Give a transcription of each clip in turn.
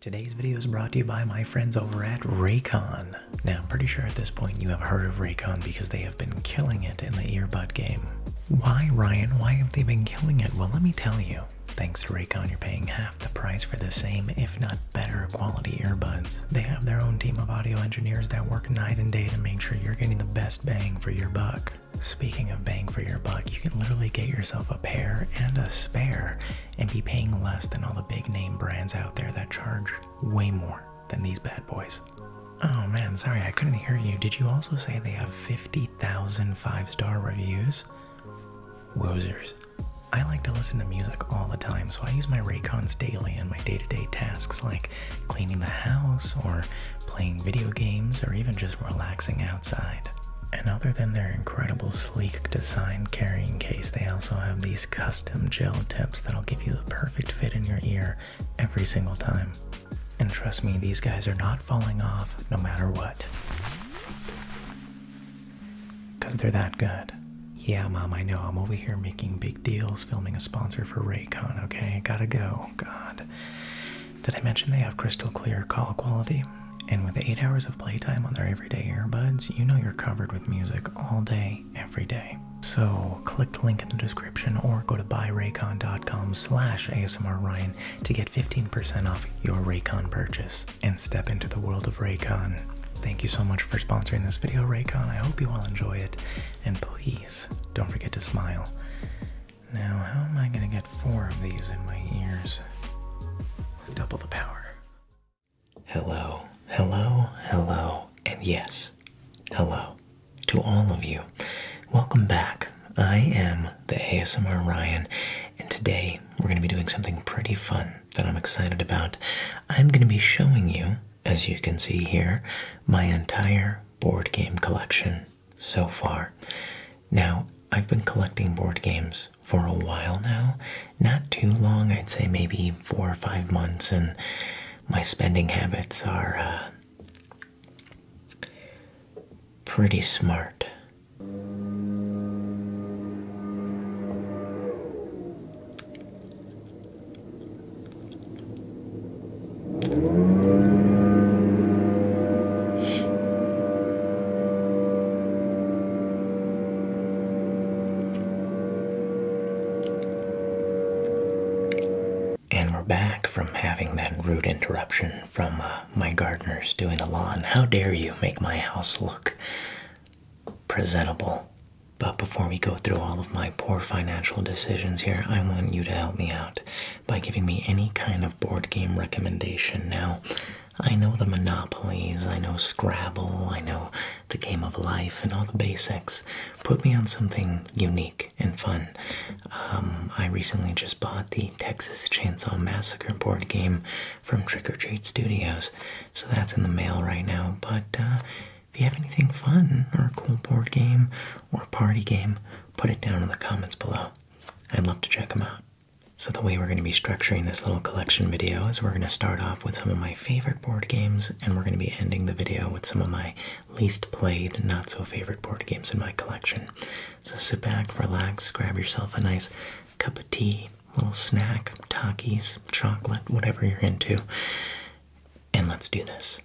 Today's video is brought to you by my friends over at Raycon. Now, I'm pretty sure at this point you have heard of Raycon because they have been killing it in the earbud game. Why, Ryan? Why have they been killing it? Well, let me tell you. Thanks to Raycon, you're paying half the price for the same, if not better, quality earbuds. They have their own team of audio engineers that work night and day to make sure you're getting the best bang for your buck. Speaking of bang for your buck, you can literally get yourself a pair and a spare and be paying less than all the big name brands out there that charge way more than these bad boys. Oh man, sorry, I couldn't hear you. Did you also say they have 50,000 five star reviews? Wozers. I like to listen to music all the time, so I use my Raycons daily in my day to day tasks like cleaning the house, or playing video games, or even just relaxing outside. And other than their incredible sleek design carrying case. They also have these custom gel tips that'll give you the perfect fit in your ear every single time. And trust me, these guys are not falling off no matter what. Because they're that good. Yeah, Mom, I know. I'm over here making big deals, filming a sponsor for Raycon, okay? Gotta go. God. Did I mention they have crystal clear call quality? And with 8 hours of playtime on their everyday earbuds, you know you're covered with music all day, every day. So click the link in the description or go to buyraycon.com slash asmrryan to get 15% off your Raycon purchase and step into the world of Raycon. Thank you so much for sponsoring this video, Raycon. I hope you all enjoy it. And please, don't forget to smile. Now, how am I going to get four of these in my ears? Double the power. Hello, hello, hello, and yes, hello to all of you. Welcome back. I am the ASMR Ryan, and today we're going to be doing something pretty fun that I'm excited about. I'm going to be showing you, as you can see here, my entire board game collection so far. Now, I've been collecting board games for a while now. Not too long, I'd say maybe four or five months, and my spending habits are uh, pretty smart. And we're back from having that rude interruption from uh, my gardeners doing the lawn. How dare you make my house look presentable? But before we go through all of my poor financial decisions here, I want you to help me out by giving me any kind of board game recommendation. Now, I know the monopolies, I know Scrabble, I know the game of life, and all the basics. Put me on something unique and fun. Um, I recently just bought the Texas Chainsaw Massacre board game from Trick or Treat Studios, so that's in the mail right now. But uh, if you have anything fun or a cool board game or party game, put it down in the comments below. I'd love to check them out. So the way we're going to be structuring this little collection video is we're going to start off with some of my favorite board games and we're going to be ending the video with some of my least played, not so favorite board games in my collection. So sit back, relax, grab yourself a nice cup of tea, little snack, Takis, chocolate, whatever you're into, and let's do this.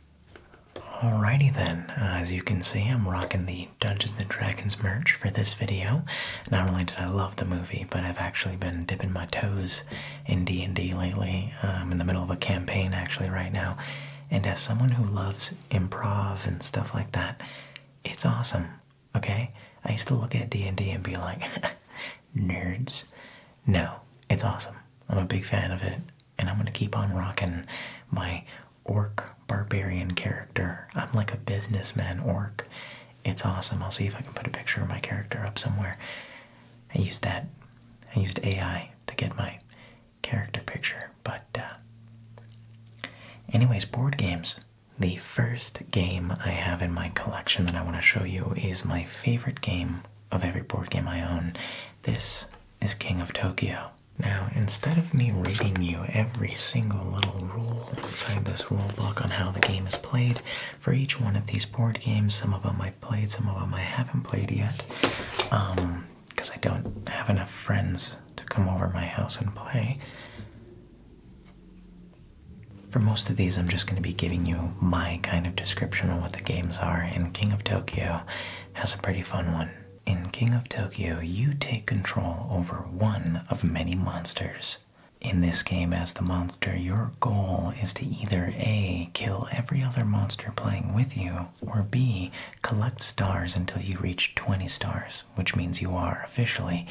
Alrighty then, as you can see, I'm rocking the Dungeons & Dragons merch for this video. Not only did I love the movie, but I've actually been dipping my toes in D and D lately. I'm in the middle of a campaign actually right now, and as someone who loves improv and stuff like that, it's awesome. Okay, I used to look at D and D and be like, nerds. No, it's awesome. I'm a big fan of it, and I'm gonna keep on rocking my orc barbarian character. I'm like a businessman orc. It's awesome. I'll see if I can put a picture of my character up somewhere. I used that. I used AI to get my character picture. But, uh, anyways, board games. The first game I have in my collection that I want to show you is my favorite game of every board game I own. This is King of Tokyo. Now, instead of me reading you every single little rule inside this rule book on how the game is played, for each one of these board games. Some of them I've played, some of them I haven't played yet, because um, I don't have enough friends to come over my house and play. For most of these, I'm just going to be giving you my kind of description of what the games are, and King of Tokyo has a pretty fun one. In King of Tokyo, you take control over one of many monsters in this game, as the monster, your goal is to either A, kill every other monster playing with you, or B, collect stars until you reach 20 stars, which means you are officially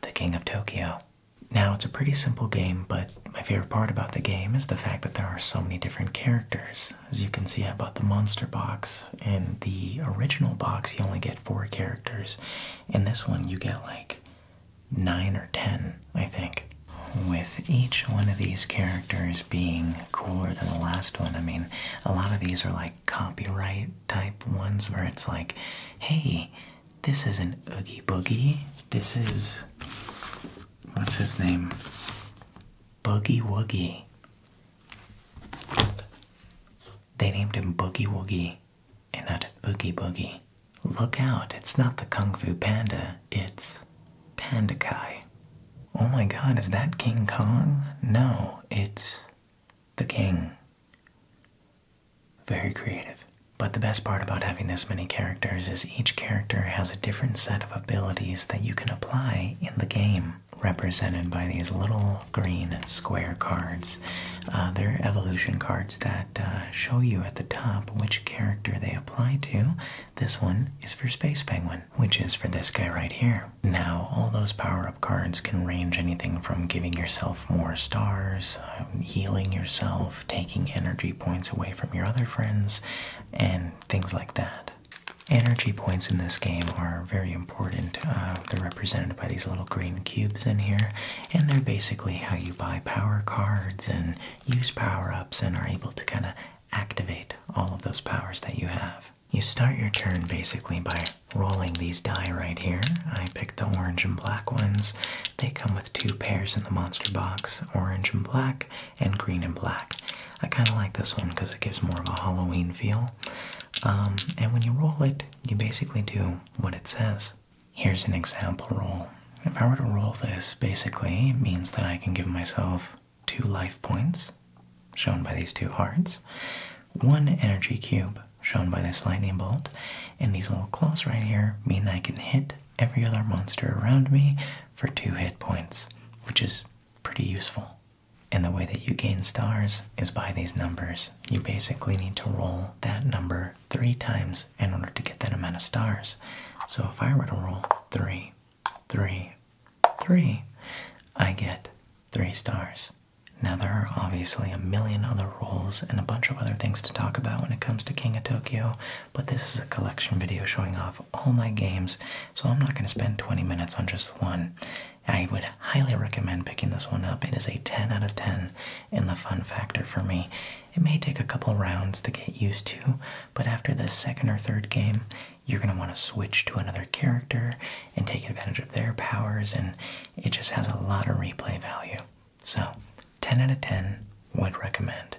the King of Tokyo. Now, it's a pretty simple game, but my favorite part about the game is the fact that there are so many different characters. As you can see, I bought the monster box, and the original box, you only get four characters. and this one, you get like nine or ten, I think. With each one of these characters being cooler than the last one, I mean, a lot of these are like copyright type ones where it's like, hey, this is an Oogie Boogie. This is. What's his name? Boogie Woogie. They named him Boogie Woogie and that an Oogie Boogie. Look out, it's not the Kung Fu Panda, it's Pandakai. Oh my god, is that King Kong? No, it's the King. Very creative. But the best part about having this many characters is each character has a different set of abilities that you can apply in the game, represented by these little green square cards. Uh, they're evolution cards that uh, show you at the top which character they apply to. This one is for Space Penguin, which is for this guy right here. Now, all those power up cards can range anything from giving yourself more stars, um, healing yourself, taking energy points away from your other friends, and things like that. Energy points in this game are very important. Uh, they're represented by these little green cubes in here, and they're basically how you buy power cards and use power ups and are able to kind of activate all of those powers that you have. You start your turn basically by rolling these die right here. I picked the orange and black ones. They come with two pairs in the monster box, orange and black and green and black. I kind of like this one because it gives more of a Halloween feel. Um, and when you roll it, you basically do what it says. Here's an example roll. If I were to roll this, basically, it means that I can give myself two life points, shown by these two hearts, one energy cube, shown by this lightning bolt, and these little claws right here mean I can hit every other monster around me for two hit points, which is pretty useful. And the way that you gain stars is by these numbers. You basically need to roll that number three times in order to get that amount of stars. So if I were to roll three, three, three, I get three stars. Now there are obviously a million other rules and a bunch of other things to talk about when it comes to King of Tokyo, but this is a collection video showing off all my games, so I'm not going to spend 20 minutes on just one. I would highly recommend picking this one up. It is a 10 out of 10 in the fun factor for me. It may take a couple rounds to get used to, but after the second or third game, you're going to want to switch to another character and take advantage of their powers, and it just has a lot of replay value. So, 10 out of 10 would recommend.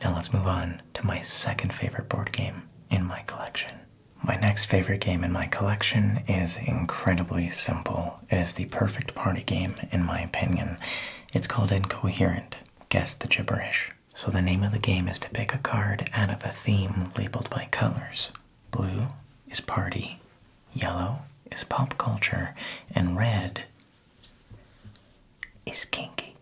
Now, let's move on to my second favorite board game in my collection. My next favorite game in my collection is incredibly simple. It is the perfect party game, in my opinion. It's called Incoherent. Guess the gibberish. So the name of the game is to pick a card out of a theme labeled by colors. Blue is party, yellow is pop culture, and red is kinky.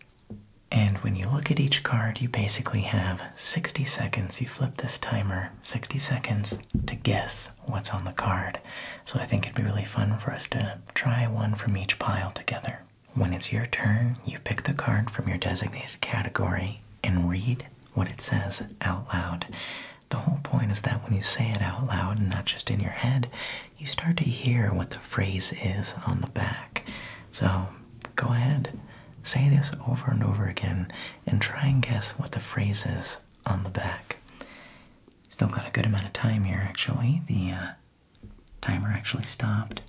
And when you look at each card, you basically have 60 seconds. You flip this timer 60 seconds to guess what's on the card. So I think it'd be really fun for us to try one from each pile together. When it's your turn, you pick the card from your designated category and read what it says out loud. The whole point is that when you say it out loud and not just in your head, you start to hear what the phrase is on the back. So go ahead, say this over and over again, and try and guess what the phrase is on the back. Still got a good amount of time here, actually. The uh, timer actually stopped.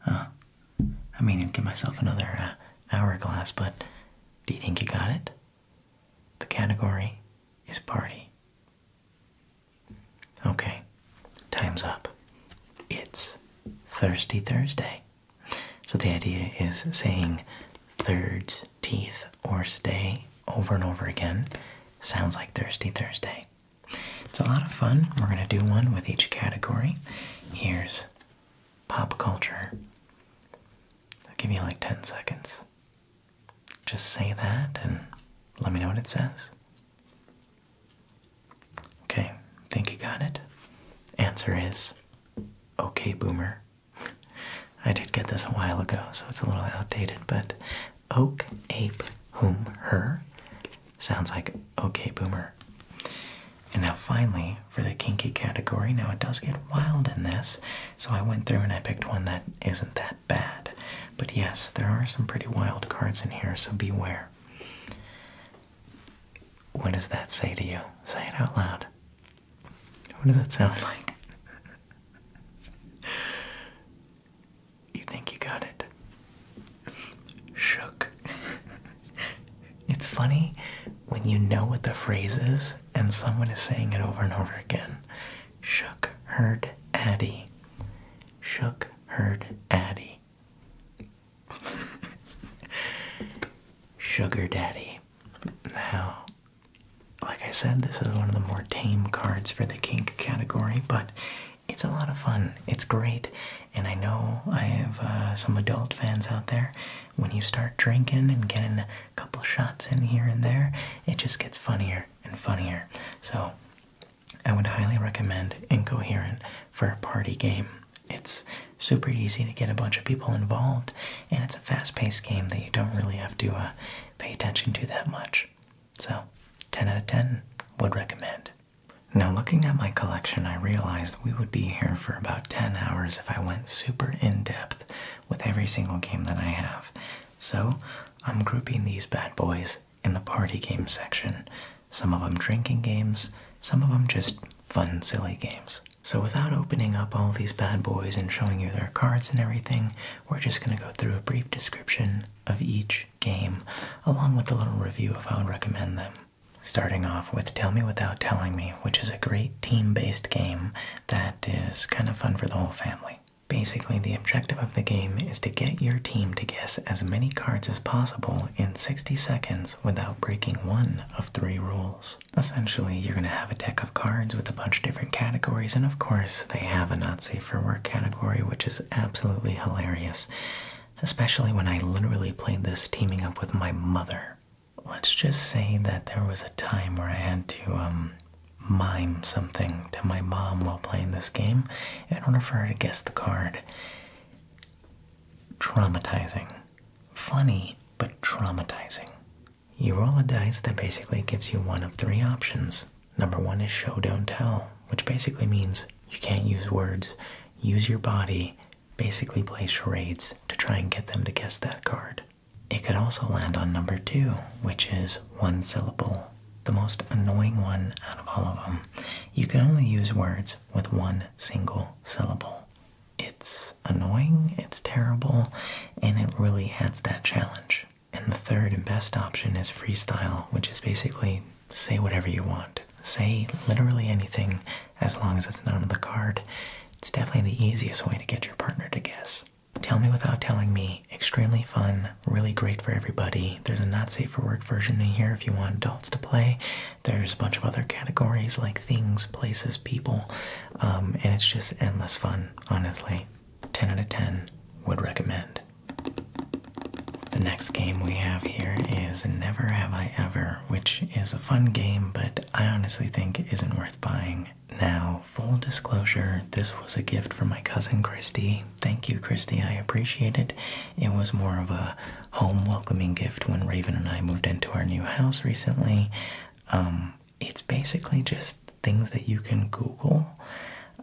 Huh. I mean, I'd give myself another uh, hourglass, but do you think you got it? The category is party. Okay, time's up. It's Thirsty Thursday. So the idea is saying thirds, teeth, or stay over and over again Sounds like Thirsty Thursday. It's a lot of fun. We're going to do one with each category. Here's pop culture. I'll give you like 10 seconds. Just say that and let me know what it says. Okay, think you got it? Answer is okay, boomer. I did get this a while ago, so it's a little outdated, but Oak ape whom her. Sounds like okay boomer. And now finally for the kinky category. Now it does get wild in this, so I went through and I picked one that isn't that bad. But yes, there are some pretty wild cards in here, so be aware. What does that say to you? Say it out loud. What does that sound like? You think you got it? Shook. it's funny when you know what the phrase is and someone is saying it over and over again. Shook, heard, Addy. Shook, heard, Addy. Sugar Daddy. Now, like I said, this is one of the more tame cards for the kink category, but it's a lot of fun. It's great, and I know I have uh, some adult fans out there. When you start drinking and getting a couple shots in here and there, it just gets funnier and funnier. So, I would highly recommend Incoherent for a party game. It's super easy to get a bunch of people involved, and it's a fast paced game that you don't really have to uh, pay attention to that much. So, 10 out of 10 would recommend. Now, looking at my collection, I realized we would be here for about 10 hours if I went super in depth with every single game that I have. So, I'm grouping these bad boys in the party game section. Some of them drinking games, some of them just fun, silly games. So, without opening up all these bad boys and showing you their cards and everything, we're just going to go through a brief description of each game, along with a little review of how I would recommend them. Starting off with Tell Me Without Telling Me, which is a great team based game that is kind of fun for the whole family. Basically, the objective of the game is to get your team to guess as many cards as possible in 60 seconds without breaking one of three rules. Essentially, you're going to have a deck of cards with a bunch of different categories, and of course, they have a Nazi for work category, which is absolutely hilarious. Especially when I literally played this teaming up with my mother. Let's just say that there was a time where I had to um, mime something to my mom while playing this game in order for her to guess the card. Traumatizing. Funny, but traumatizing. You roll a dice that basically gives you one of three options Number one is show, don't tell, which basically means you can't use words. Use your body, basically play charades to try and get them to guess that card. It could also land on number two, which is one syllable, the most annoying one out of all of them. You can only use words with one single syllable. It's annoying, it's terrible, and it really adds that challenge. And the third and best option is freestyle, which is basically say whatever you want. Say literally anything as long as it's not on the card. It's definitely the easiest way to get your partner to guess. Tell me without telling me. Extremely fun, really great for everybody. There's a not safe for work version in here if you want adults to play. There's a bunch of other categories like things, places, people, um, and it's just endless fun, honestly. 10 out of 10 would recommend. The next game we have here is Never Have I Ever, which is a fun game, but I honestly think isn't worth buying. Now, full disclosure, this was a gift from my cousin Christy. Thank you, Christy, I appreciate it. It was more of a home welcoming gift when Raven and I moved into our new house recently. Um, it's basically just things that you can Google.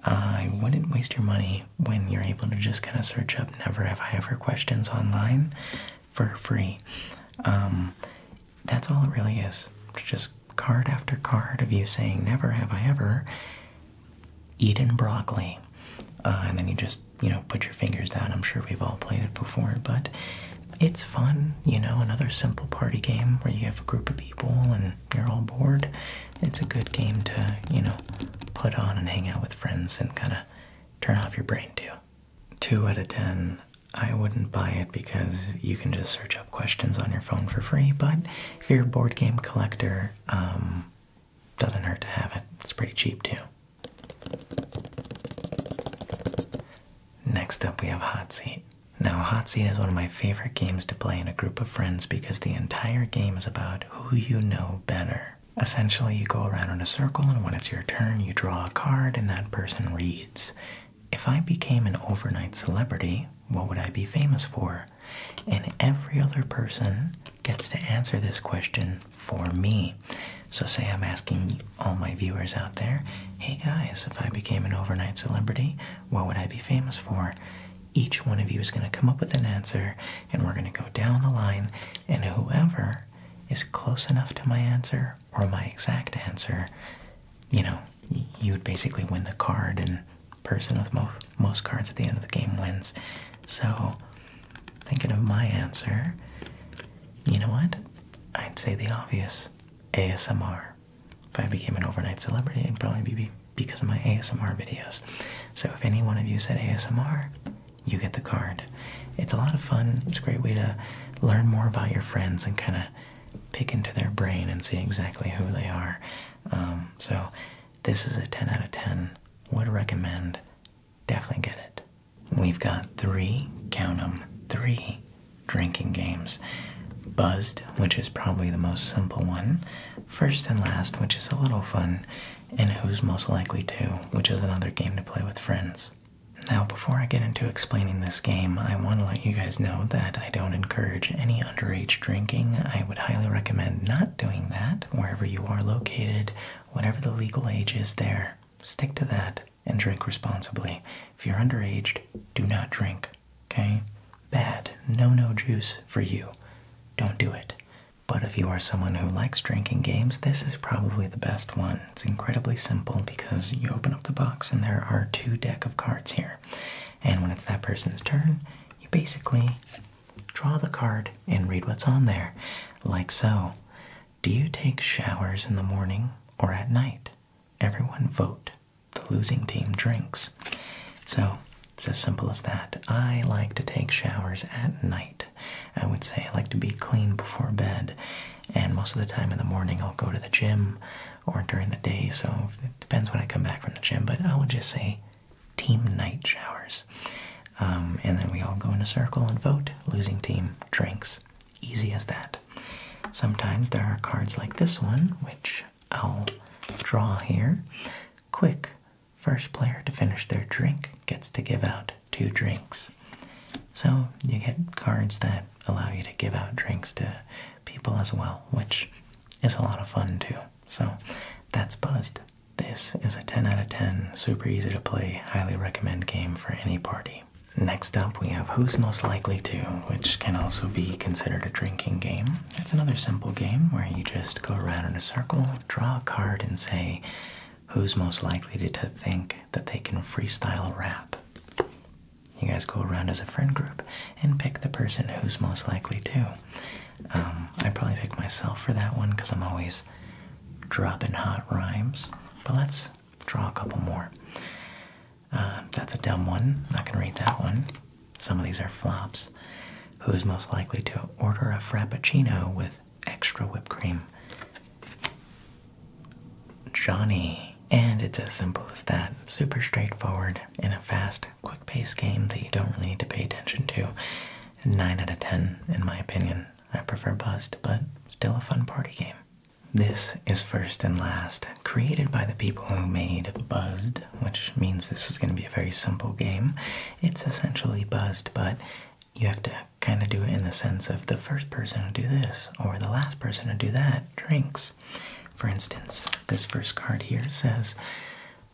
I wouldn't waste your money when you're able to just kind of search up never have I ever questions online for free. Um, that's all it really is. Just card after card of you saying never have I ever eaten broccoli. Uh, and then you just, you know, put your fingers down. I'm sure we've all played it before, but it's fun, you know, another simple party game where you have a group of people and you're all bored, it's a good game to, you know, put on and hang out with friends and kind of turn off your brain too. 2 out of 10. I wouldn't buy it because you can just search up questions on your phone for free, but if you're a board game collector, um, doesn't hurt to have it. It's pretty cheap too. Next up, we have Hot Seat. Now, Hot Seat is one of my favorite games to play in a group of friends because the entire game is about who you know better. Essentially, you go around in a circle, and when it's your turn, you draw a card and that person reads. If I became an overnight celebrity, what would I be famous for? And every other person gets to answer this question for me. So, say I'm asking all my viewers out there, hey guys, if I became an overnight celebrity, what would I be famous for? each one of you is going to come up with an answer, and we're going to go down the line, and whoever is close enough to my answer or my exact answer, you know, you would basically win the card, and person with most cards at the end of the game wins. So, thinking of my answer, you know what? I'd say the obvious ASMR. If I became an overnight celebrity, and probably be because of my ASMR videos. So if any one of you said ASMR, you get the card. It's a lot of fun. It's a great way to learn more about your friends and kind of pick into their brain and see exactly who they are. Um, so this is a 10 out of 10. Would recommend. Definitely get it. We've got three, count them, three drinking games. Buzzed, which is probably the most simple one first and last, which is a little fun, and who's most likely to, which is another game to play with friends. Now, before I get into explaining this game, I want to let you guys know that I don't encourage any underage drinking. I would highly recommend not doing that wherever you are located, whatever the legal age is there. Stick to that and drink responsibly. If you're underage, do not drink, okay? bad no-no juice for you. Don't do it. But if you are someone who likes drinking games, this is probably the best one. It's incredibly simple because you open up the box and there are two deck of cards here. And when it's that person's turn, you basically draw the card and read what's on there. Like so. Do you take showers in the morning or at night? Everyone vote. The losing team drinks. So it's as simple as that. I like to take showers at night. I would say I like to be clean before bed, and most of the time in the morning I'll go to the gym or during the day, so it depends when I come back from the gym, but I would just say team night showers. Um, and then we all go in a circle and vote. Losing team drinks. Easy as that. Sometimes there are cards like this one, which I'll draw here. Quick First player to finish their drink gets to give out two drinks. So you get cards that allow you to give out drinks to people as well, which is a lot of fun too. So that's Buzzed. This is a 10 out of 10, super easy to play, highly recommend game for any party. Next up, we have Who's Most Likely To, which can also be considered a drinking game it's another simple game where you just go around in a circle, draw a card, and say who's most likely to, think that they can freestyle rap. You guys go around as a friend group and pick the person who's most likely to. Um, I probably pick myself for that one because I'm always dropping hot rhymes. But let's draw a couple more. Uh, that's a dumb one. Not gonna read that one. Some of these are flops. Who is most likely to order a frappuccino with extra whipped cream? Johnny. And it's as simple as that. Super straightforward in a fast, quick paced game that you don't really need to pay attention to. 9 out of 10, in my opinion. I prefer Bust, but still a fun party game. This is First and Last, created by the people who made Buzzed, which means this is going to be a very simple game it's essentially buzzed, but you have to kind of do it in the sense of the first person to do this or the last person to do that drinks. For instance, this first card here says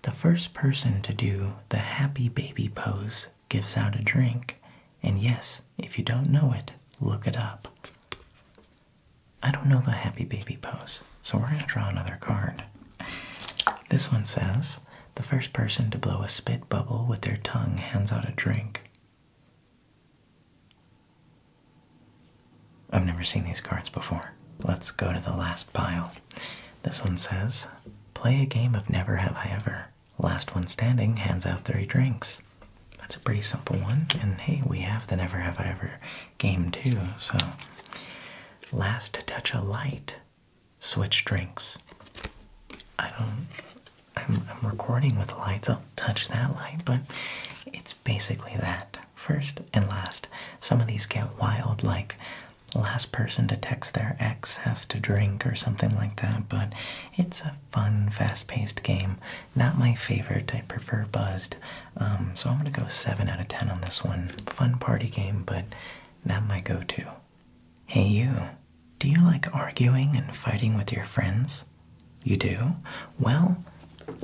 the first person to do the happy baby pose gives out a drink. And yes, if you don't know it, look it up. I don't know the happy baby pose, so we're going to draw another card this one says the first person to blow a spit bubble with their tongue hands out a drink. I've never seen these cards before. Let's go to the last pile. This one says, Play a game of Never Have I Ever. Last one standing hands out three drinks. That's a pretty simple one. And hey, we have the Never Have I Ever game too, so. Last to touch a light switch drinks. I don't. I'm, recording with lights. I'll touch that light, but it's basically that. First and last. Some of these get wild, like last person to text their ex has to drink or something like that, but it's a fun, fast paced game. Not my favorite. I prefer Buzzed. Um, so I'm going to go 7 out of 10 on this one. Fun party game, but that my go to. Hey, you. Do you like arguing and fighting with your friends? You do? Well,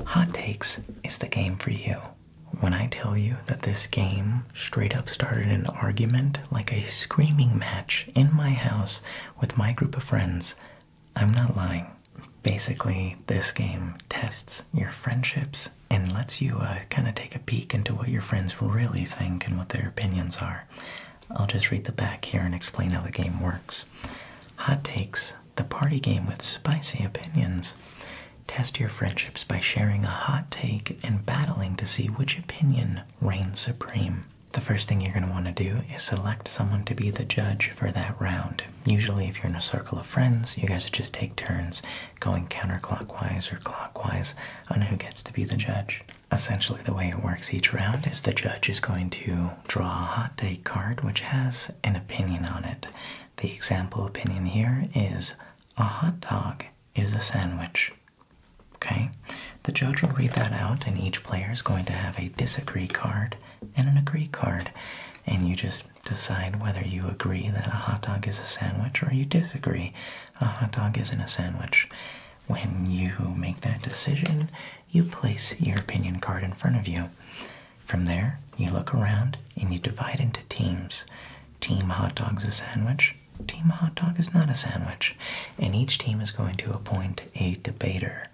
Hot Takes is the game for you. When I tell you that this game straight up started an argument like a screaming match in my house with my group of friends, I'm not lying. Basically, this game tests your friendships and lets you uh, kind of take a peek into what your friends really think and what their opinions are. I'll just read the back here and explain how the game works. Hot Takes, the party game with spicy opinions. Test your friendships by sharing a hot take and battling to see which opinion reigns supreme. The first thing you're going to want to do is select someone to be the judge for that round. Usually, if you're in a circle of friends, you guys just take turns going counterclockwise or clockwise on who gets to be the judge. Essentially, the way it works each round is the judge is going to draw a hot day card which has an opinion on it. The example opinion here is a hot dog is a sandwich. Okay? The judge will read that out, and each player is going to have a disagree card and an agree card. And you just decide whether you agree that a hot dog is a sandwich or you disagree a hot dog is in a sandwich. When you make that decision, you place your opinion card in front of you. From there, you look around and you divide into teams. Team hot dog's a sandwich, team hot dog is not a sandwich. And each team is going to appoint a debater.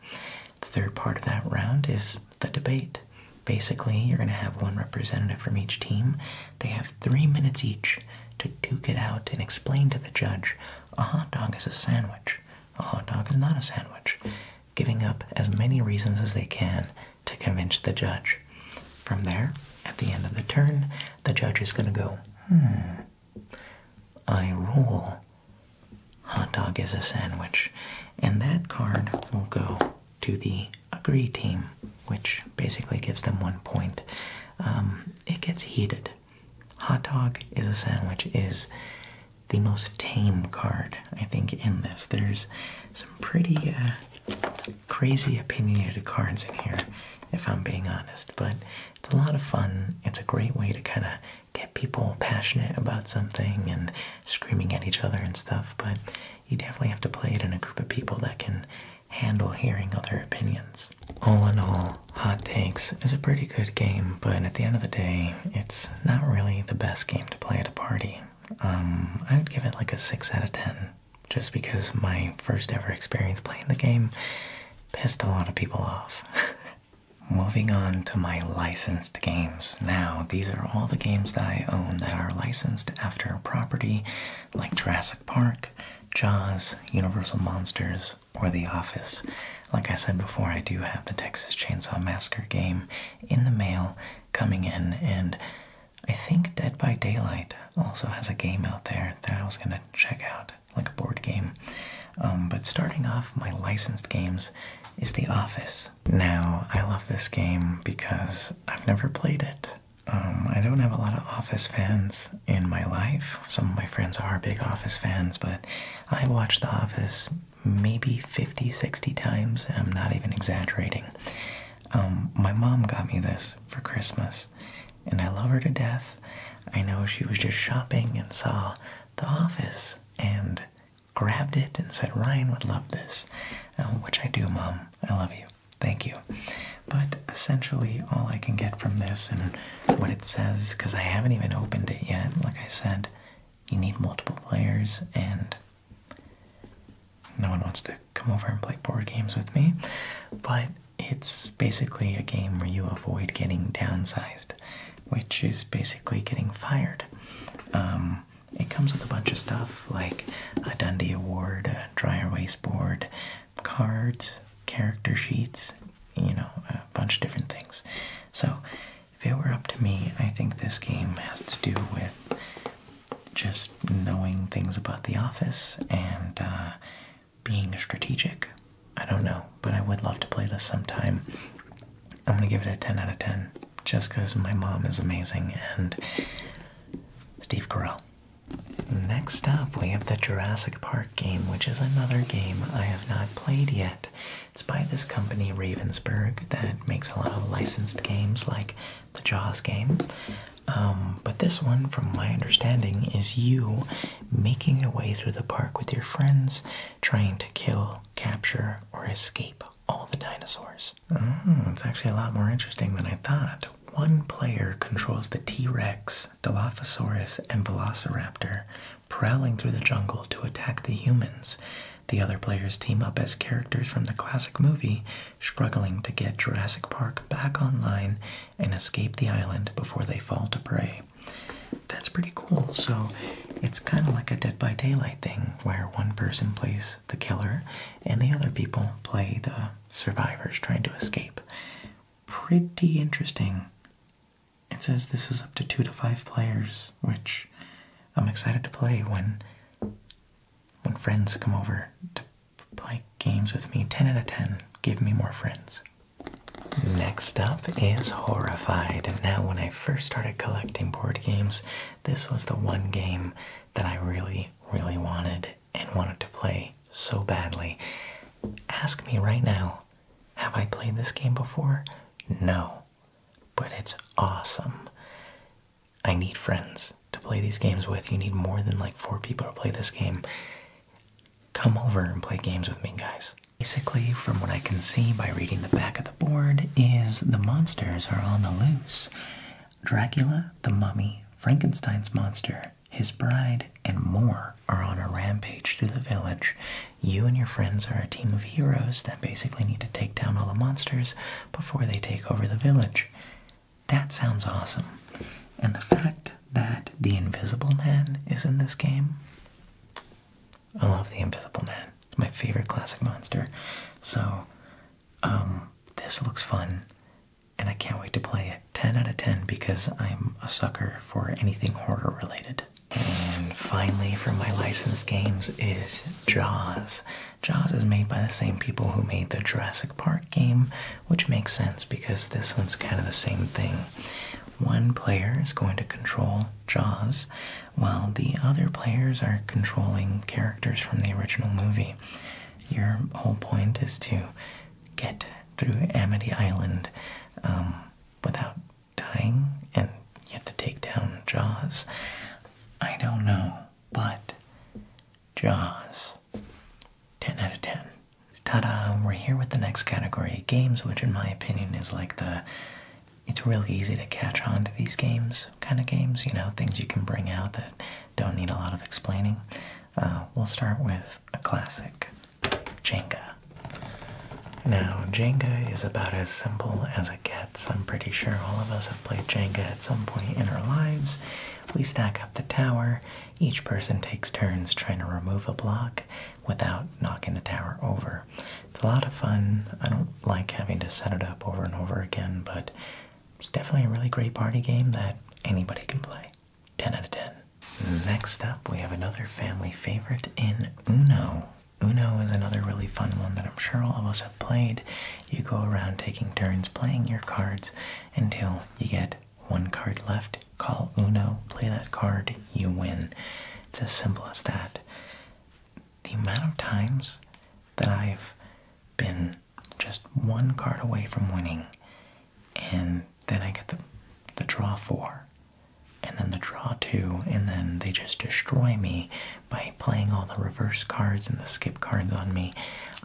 The third part of that round is the debate. Basically, you're going to have one representative from each team they have three minutes each to duke it out and explain to the judge a hot dog is a sandwich, a hot dog is not a sandwich, giving up as many reasons as they can to convince the judge. From there, at the end of the turn, the judge is going to go, hmm, I rule. Hot dog is a sandwich. And that card will go to the agree team, which basically gives them one point, um, it gets heated. Hot dog is a sandwich is the most tame card, I think, in this. There's some pretty uh, crazy opinionated cards in here, if I'm being honest, but it's a lot of fun. It's a great way to kind of get people passionate about something and screaming at each other and stuff, but you definitely have to play it in a group of people that can handle hearing other opinions. All in all, Hot Takes is a pretty good game, but at the end of the day, it's not really the best game to play at a party. Um, I would give it like a 6 out of 10, just because my first ever experience playing the game pissed a lot of people off. Moving on to my licensed games. Now, these are all the games that I own that are licensed after a property like Jurassic Park, Jaws, Universal Monsters, or The Office. Like I said before, I do have the Texas Chainsaw Massacre game in the mail coming in, and I think Dead by Daylight also has a game out there that I was gonna check out, like a board game. Um, but starting off, my licensed games is The Office. Now, I love this game because I've never played it. Um, I don't have a lot of Office fans in my life. Some of my friends are big Office fans, but I watch The Office maybe 50, 60 times, I'm not even exaggerating. Um, my mom got me this for Christmas, and I love her to death. I know she was just shopping and saw The Office and grabbed it and said, Ryan would love this, um, which I do, Mom. I love you thank you. But essentially, all I can get from this and what it says, because I haven't even opened it yet, like I said, you need multiple players, and no one wants to come over and play board games with me. But it's basically a game where you avoid getting downsized, which is basically getting fired. Um, it comes with a bunch of stuff like a Dundee Award, a Dryer Waste Board, cards, character sheets, you know, a bunch of different things. So, if it were up to me, I think this game has to do with just knowing things about the office and uh, being strategic. I don't know, but I would love to play this sometime. I'm going to give it a 10 out of 10 just because my mom is amazing and Steve Carell. Next up, we have the Jurassic Park game, which is another game I have not played yet. It's by this company, Ravensburg, that makes a lot of licensed games like the Jaws game. Um, but this one, from my understanding, is you making your way through the park with your friends, trying to kill, capture, or escape all the dinosaurs. Mm, it's actually a lot more interesting than I thought. One player controls the T Rex Dilophosaurus, and Velociraptor prowling through the jungle to attack the humans. The other players team up as characters from the classic movie, struggling to get Jurassic Park back online and escape the island before they fall to prey. That's pretty cool. So it's kind of like a Dead by Daylight thing where one person plays the killer and the other people play the survivors trying to escape pretty interesting. It says this is up to two to five players, which I'm excited to play when when friends come over to play games with me. Ten out of ten. Give me more friends. Next up is Horrified. Now, when I first started collecting board games, this was the one game that I really, really wanted and wanted to play so badly. Ask me right now, have I played this game before? No, but it's awesome. I need friends to play these games with. You need more than like four people to play this game. Come over and play games with me, guys. Basically, from what I can see by reading the back of the board, is the monsters are on the loose. Dracula, the mummy, Frankenstein's monster, his bride, and more are on a rampage through the village. You and your friends are a team of heroes that basically need to take down all the monsters before they take over the village. That sounds awesome. And the fact that the Invisible Man is in this game. I love the Invisible Man. It's my favorite classic monster. So, um, this looks fun and I can't wait to play it. 10 out of 10 because I'm a sucker for anything horror related. And finally, for my licensed games, is Jaws. Jaws is made by the same people who made the Jurassic Park game, which makes sense because this one's kind of the same thing. One player is going to control Jaws, while the other players are controlling characters from the original movie. Your whole point is to get through Amity Island um, without dying and you have to take down Jaws. I don't know, but Jaws. 10 out of 10. Ta da! We're here with the next category games, which in my opinion is like the. It's really easy to catch on to these games, kind of games, you know, things you can bring out that don't need a lot of explaining. Uh, we'll start with a classic, Jenga. Now, Jenga is about as simple as it gets. I'm pretty sure all of us have played Jenga at some point in our lives. We stack up the tower. Each person takes turns trying to remove a block without knocking the tower over. It's a lot of fun. I don't like having to set it up over and over again, but it's definitely a really great party game that anybody can play. 10 out of 10. Next up, we have another family favorite in Uno. Uno is another really fun one that I'm sure all of us have played. You go around taking turns playing your cards until you get one card left. Call Uno, play that card, you win. It's as simple as that. The amount of times that I've been just one card away from winning and then I get the the draw four, and then the draw two, and then they just destroy me by playing all the reverse cards and the skip cards on me.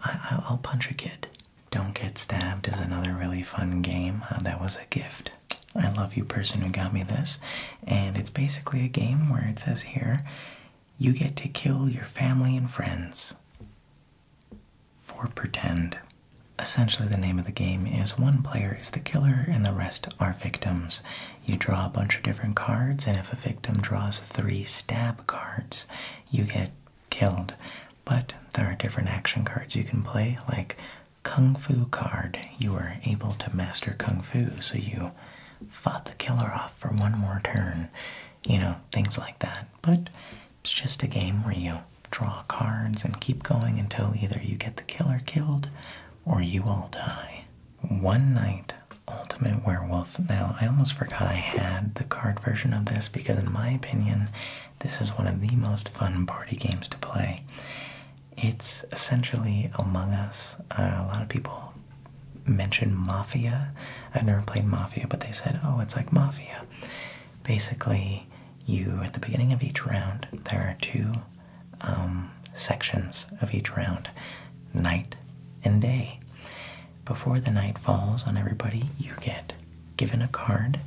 I, will punch a kid. Don't Get Stabbed is another really fun game. Uh, that was a gift. I love you, person who got me this. And it's basically a game where it says here you get to kill your family and friends. For pretend, essentially the name of the game is one player is the killer and the rest are victims. You draw a bunch of different cards, and if a victim draws three stab cards, you get killed. But there are different action cards you can play, like Kung Fu card. You are able to master Kung Fu, so you fought the killer off for one more turn. You know, things like that. But it's just a game where you draw cards and keep going until either you get the killer killed or you all die. One Night Ultimate Werewolf. Now, I almost forgot I had the card version of this because, in my opinion, this is one of the most fun party games to play. It's essentially Among Us. Uh, a lot of people mentioned Mafia. I've never played Mafia, but they said, oh, it's like Mafia basically, you at the beginning of each round, there are two um, sections of each round night and day. Before the night falls on everybody, you get given a card,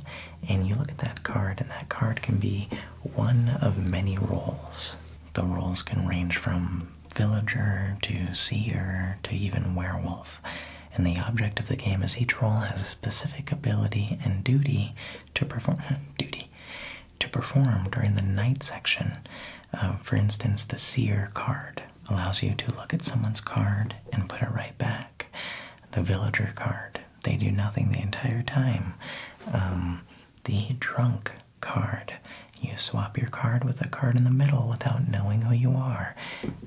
and you look at that card, and that card can be one of many roles. The roles can range from villager to seer to even werewolf and the object of the game is each role has a specific ability and duty to perform duty to perform during the night section. Uh, for instance, the seer card allows you to look at someone's card and put it right back. The villager card they do nothing the entire time. Um, the drunk card you swap your card with a card in the middle without knowing who you are.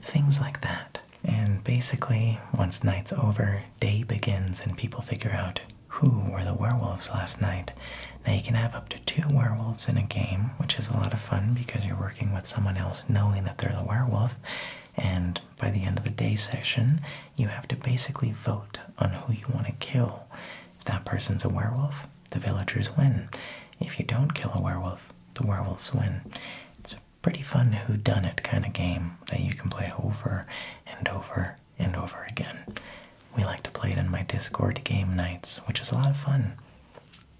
Things like that. And basically, once night's over, day begins and people figure out who were the werewolves last night. Now, you can have up to two werewolves in a game, which is a lot of fun because you're working with someone else knowing that they're the werewolf. And by the end of the day session, you have to basically vote on who you want to kill. If that person's a werewolf, the villagers win. If you don't kill a werewolf, the werewolves win pretty fun who done it kind of game that you can play over and over and over again. We like to play it in my Discord game nights, which is a lot of fun.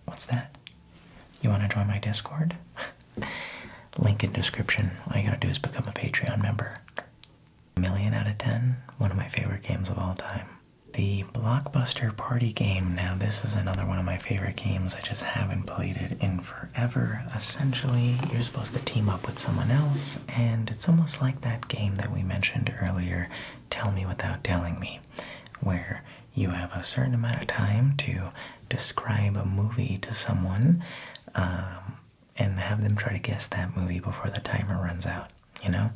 What's that? You want to join my Discord? Link in description. All you gotta do is become a Patreon member. A million out of ten, one of my favorite games of all time. The Blockbuster Party game. Now, this is another one of my favorite games. I just haven't played it in forever. Essentially, you're supposed to team up with someone else, and it's almost like that game that we mentioned earlier, Tell Me Without Telling Me, where you have a certain amount of time to describe a movie to someone um, and have them try to guess that movie before the timer runs out. You know,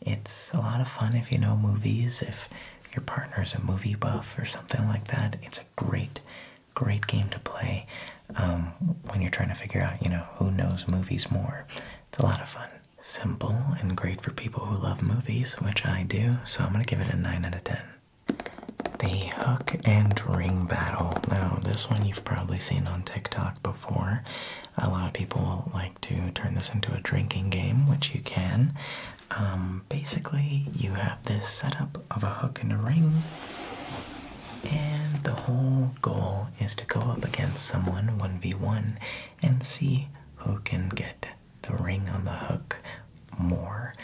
it's a lot of fun if you know movies, if your partner is a movie buff or something like that. It's a great great game to play um, when you're trying to figure out, you know, who knows movies more. It's a lot of fun. Simple and great for people who love movies, which I do, so I'm going to give it a 9 out of 10. The Hook and Ring Battle. Now, this one you've probably seen on TikTok before. A lot of people like to turn this into a drinking game, which you can. Um, basically, you have this setup of a hook and a ring. And the whole goal is to go up against someone 1v1 and see who can get the ring on the hook more.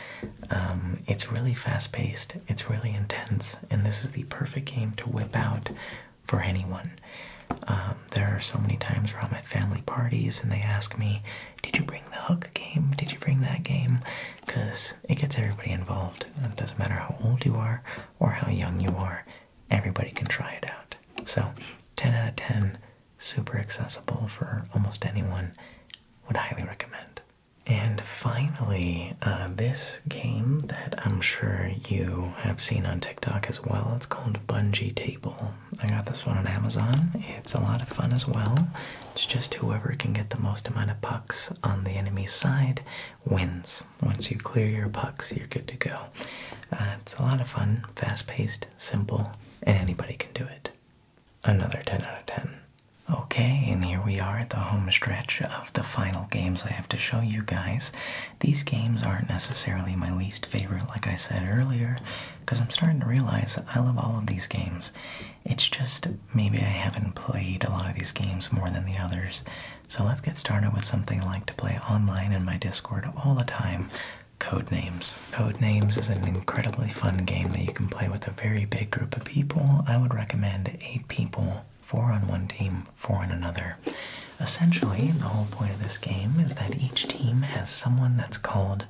Um, it's really fast paced, it's really intense, and this is the perfect game to whip out for anyone. Um, there are so many times where I'm at family parties and they ask me, Did you bring the hook game? Did you bring that game? because it gets everybody involved. It doesn't matter how old you are or how young you are, everybody can try it out. So, 10 out of 10, super accessible for almost anyone, would highly recommend. And finally, uh, this game that I'm sure you have seen on TikTok as well, it's called Bungee Table. I got this one on Amazon. It's a lot of fun as well. It's just whoever can get the most amount of pucks on the enemy's side wins. Once you clear your pucks, you're good to go. Uh, it's a lot of fun, fast paced, simple, and anybody can do it. Another 10 out of 10. Okay, and here we are at the home stretch of the final games I have to show you guys. These games aren't necessarily my least favorite, like I said earlier, because I'm starting to realize I love all of these games. It's just maybe I haven't played a lot of these games more than the others. So let's get started with something I like to play online in my Discord all the time. Code names. Code names is an incredibly fun game that you can play with a very big group of people. I would recommend eight people, four on one team, four on another. Essentially, the whole point of this game is that each team has someone that's called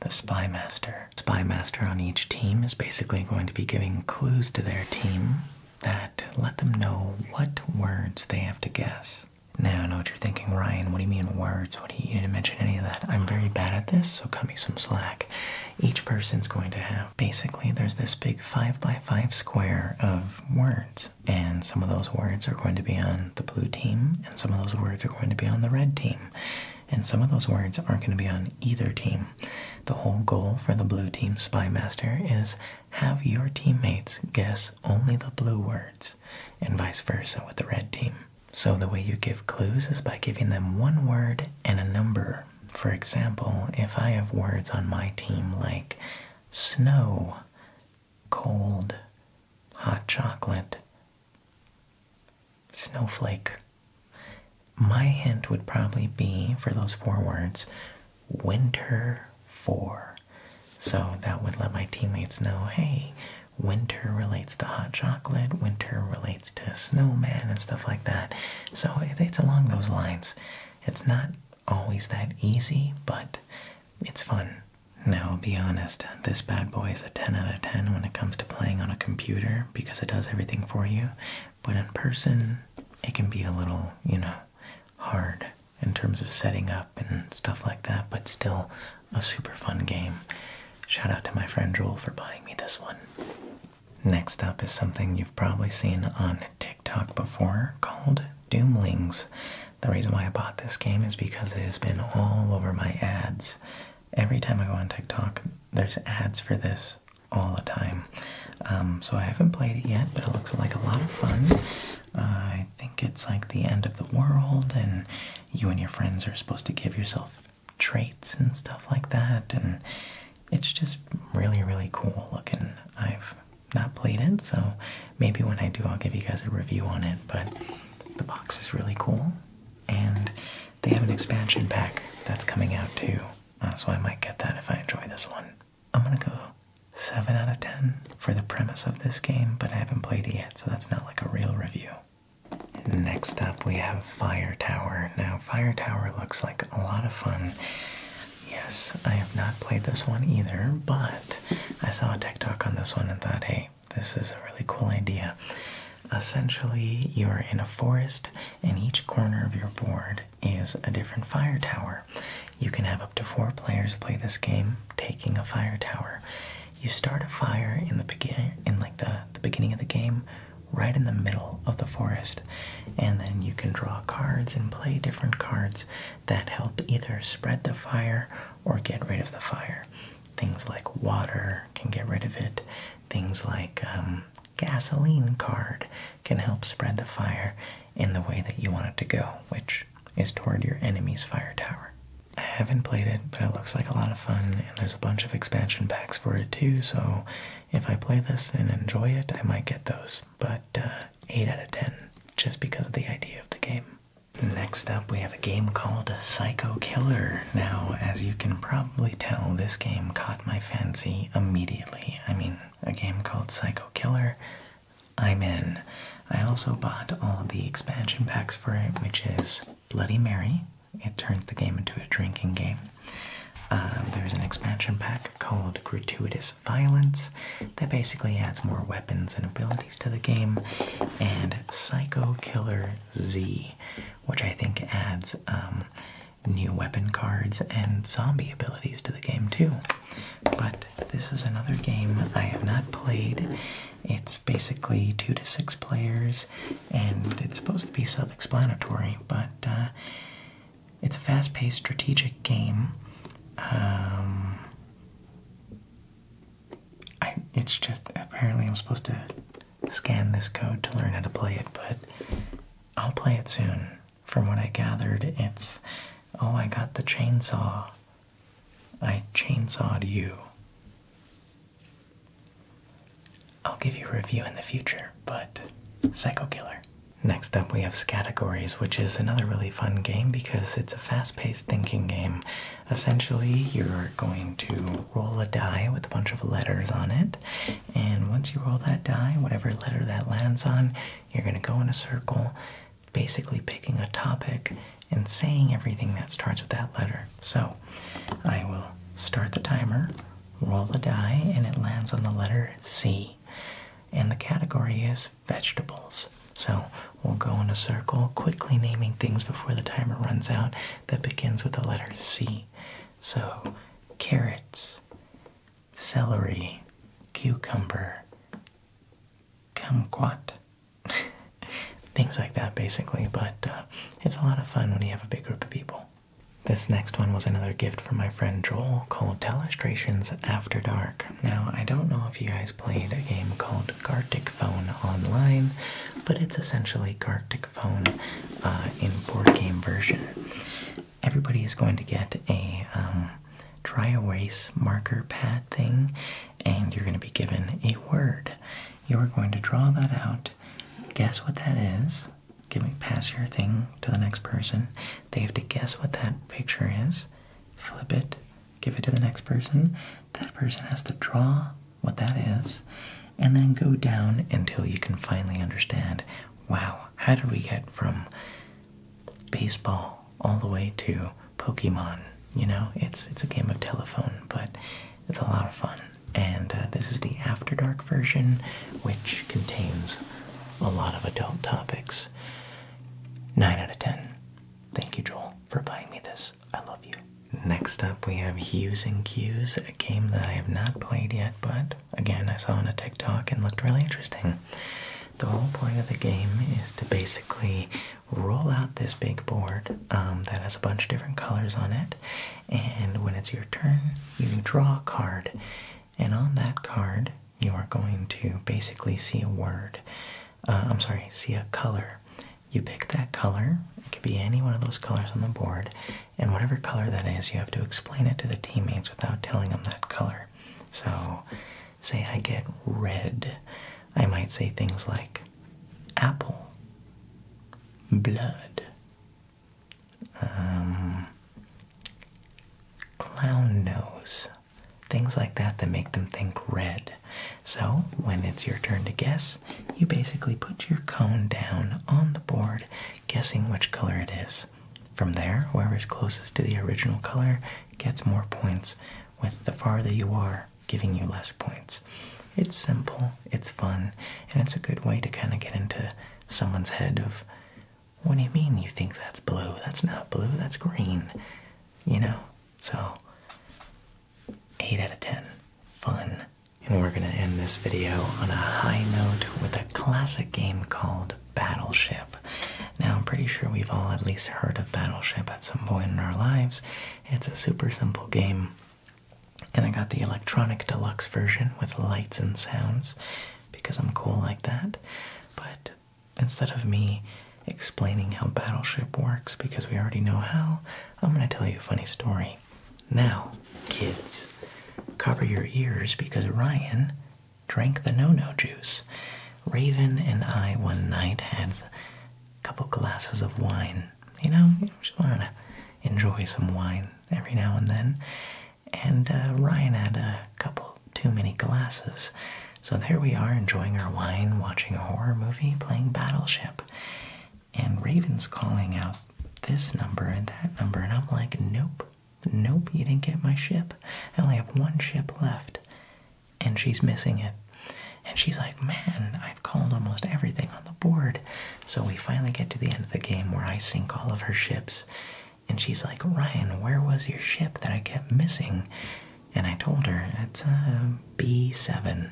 the Spy Master. Spy master on each team is basically going to be giving clues to their team that let them know what words they have to guess. Now I know what you're thinking, Ryan. What do you mean words? What do you, you didn't mention any of that? I'm very bad at this, so cut me some slack. Each person's going to have basically there's this big five by five square of words, and some of those words are going to be on the blue team, and some of those words are going to be on the red team and some of those words aren't going to be on either team. The whole goal for the blue team spy master is have your teammates guess only the blue words and vice versa with the red team. So the way you give clues is by giving them one word and a number. For example, if I have words on my team like snow, cold, hot chocolate, snowflake. My hint would probably be for those four words winter four. So that would let my teammates know hey, winter relates to hot chocolate, winter relates to snowman, and stuff like that. So it's along those lines. It's not always that easy, but it's fun. Now, be honest, this bad boy is a 10 out of 10 when it comes to playing on a computer because it does everything for you but in person, it can be a little, you know, hard in terms of setting up and stuff like that, but still a super fun game. Shout out to my friend Joel for buying me this one. Next up is something you've probably seen on TikTok before called Doomlings. The reason why I bought this game is because it has been all over my ads. Every time I go on TikTok, there's ads for this all the time. Um, so I haven't played it yet, but it looks like a lot of fun. I think it's like the end of the world, and you and your friends are supposed to give yourself traits and stuff like that, and it's just really, really cool looking. I've not played it, so maybe when I do, I'll give you guys a review on it. But the box is really cool, and they have an expansion pack that's coming out too. Uh, so I might get that if I enjoy this one. I'm gonna go 7 out of 10 for the premise of this game, but I haven't played it yet, so that's not like a real review. Next up, we have Fire Tower. Now, Fire Tower looks like a lot of fun. Yes, I have not played this one either, but I saw a TikTok on this one and thought, hey, this is a really cool idea. Essentially, you're in a forest, and each corner of your board is a different fire tower. You can have up to four players play this game, taking a fire tower. You start a fire in the beginning, in like the, the beginning of the game, right in the middle of the forest, and then you can draw cards and play different cards that help either spread the fire or get rid of the fire. Things like water can get rid of it. Things like um, gasoline card can help spread the fire in the way that you want it to go, which is toward your enemy's fire tower. I haven't played it, but it looks like a lot of fun, and there's a bunch of expansion packs for it too, so if I play this and enjoy it, I might get those. But uh, 8 out of 10, just because of the idea of the game. Next up, we have a game called Psycho Killer. Now, as you can probably tell, this game caught my fancy immediately. I mean, a game called Psycho Killer, I'm in. I also bought all the expansion packs for it, which is Bloody Mary. It turns the game into a drinking game. Um, there's an expansion pack called Gratuitous Violence that basically adds more weapons and abilities to the game, and Psycho Killer Z, which I think adds um, new weapon cards and zombie abilities to the game too. But this is another game I have not played. It's basically two to six players, and it's supposed to be self-explanatory, but uh, it's a fast-paced strategic game. Um, it's just apparently I'm supposed to scan this code to learn how to play it, but I'll play it soon. From what I gathered, it's oh, I got the chainsaw. I chainsawed you. I'll give you a review in the future, but Psycho Killer. Next up, we have Scatagories, which is another really fun game because it's a fast paced thinking game. Essentially, you're going to roll a die with a bunch of letters on it, and once you roll that die, whatever letter that lands on, you're going to go in a circle, basically picking a topic and saying everything that starts with that letter. So I will start the timer, roll the die, and it lands on the letter C. And the category is vegetables. So we'll go in a circle, quickly naming things before the timer runs out that begins with the letter C. So carrots, celery, cucumber, kumquat, things like that basically, but uh, it's a lot of fun when you have a big group of people. This next one was another gift from my friend Joel called Telestrations After Dark. Now, I don't know if you guys played a game called Gartic Phone online, but it's essentially Gartic Phone uh, in board game version everybody is going to get a um, dry erase marker pad thing, and you're going to be given a word. You're going to draw that out. Guess what that is. Give me pass your thing to the next person. They have to guess what that picture is. Flip it. Give it to the next person. That person has to draw what that is, and then go down until you can finally understand wow, how did we get from baseball all the way to Pokemon? You know, it's it's a game of telephone, but it's a lot of fun. And uh, this is the After Dark version, which contains a lot of adult topics. 9 out of 10. Thank you, Joel, for buying me this. I love you. Next up, we have Hues and Cues, a game that I have not played yet, but again, I saw on a TikTok and looked really interesting. The whole point of the game is to basically roll out this big board um, that has a bunch of different colors on it, and when it's your turn, you draw a card, and on that card, you are going to basically see a word. Uh, I'm sorry, see a color. You pick that color, it could be any one of those colors on the board, and whatever color that is, you have to explain it to the teammates without telling them that color. So, say I get red, I might say things like apple, blood, um, clown nose, things like that that make them think red. So, when it's your turn to guess, you basically put your cone down on the board guessing which color it is. From there, whoever's closest to the original color gets more points, with the farther you are giving you less points. It's simple, it's fun, and it's a good way to kind of get into someone's head of, what do you mean you think that's blue? That's not blue, that's green. You know? So, 8 out of 10. Fun. And we're going to end this video on a high note with a classic game called Battleship. Now, I'm pretty sure we've all at least heard of Battleship at some point in our lives. It's a super simple game. And I got the electronic deluxe version with lights and sounds because I'm cool like that. But instead of me explaining how Battleship works because we already know how, I'm going to tell you a funny story. Now, kids, cover your ears because Ryan drank the no-no juice. Raven and I one night had a couple glasses of wine. You know, just want to enjoy some wine every now and then. And uh, Ryan had a couple too many glasses. So there we are enjoying our wine, watching a horror movie, playing Battleship. And Raven's calling out this number and that number, and I'm like, nope, Nope, you didn't get my ship. I only have one ship left. And she's missing it. And she's like, Man, I've called almost everything on the board. So we finally get to the end of the game where I sink all of her ships. And she's like, Ryan, where was your ship that I kept missing? And I told her, It's a uh, B7.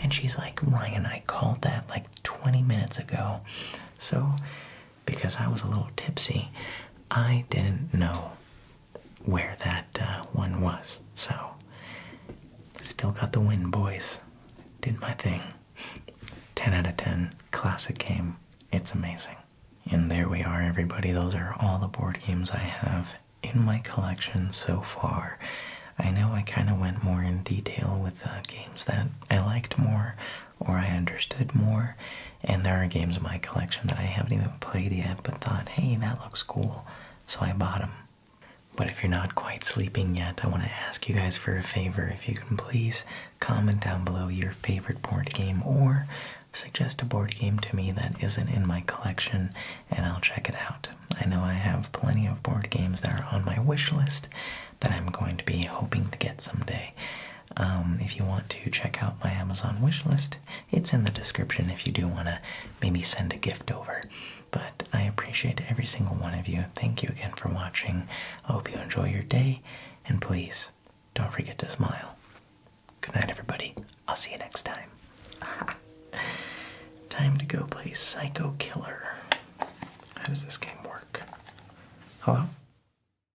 And she's like, Ryan, I called that like 20 minutes ago. So because I was a little tipsy, I didn't know where that uh, one was. So, still got the win, boys. Did my thing. 10 out of 10. Classic game. It's amazing. And there we are, everybody. Those are all the board games I have in my collection so far. I know I kind of went more in detail with the uh, games that I liked more or I understood more and there are games in my collection that I haven't even played yet, but thought, hey, that looks cool. So I bought them. But if you're not quite sleeping yet, I want to ask you guys for a favor. If you can please comment down below your favorite board game or suggest a board game to me that isn't in my collection and I'll check it out. I know I have plenty of board games that are on my wish list that I'm going to be hoping to get someday. Um, if you want to check out my Amazon wish list, it's in the description if you do want to maybe send a gift over. But I appreciate every single one of you. Thank you again for watching. I hope you enjoy your day, and please don't forget to smile. Good night, everybody. I'll see you next time. Time to go play Psycho Killer. How does this game work? Hello?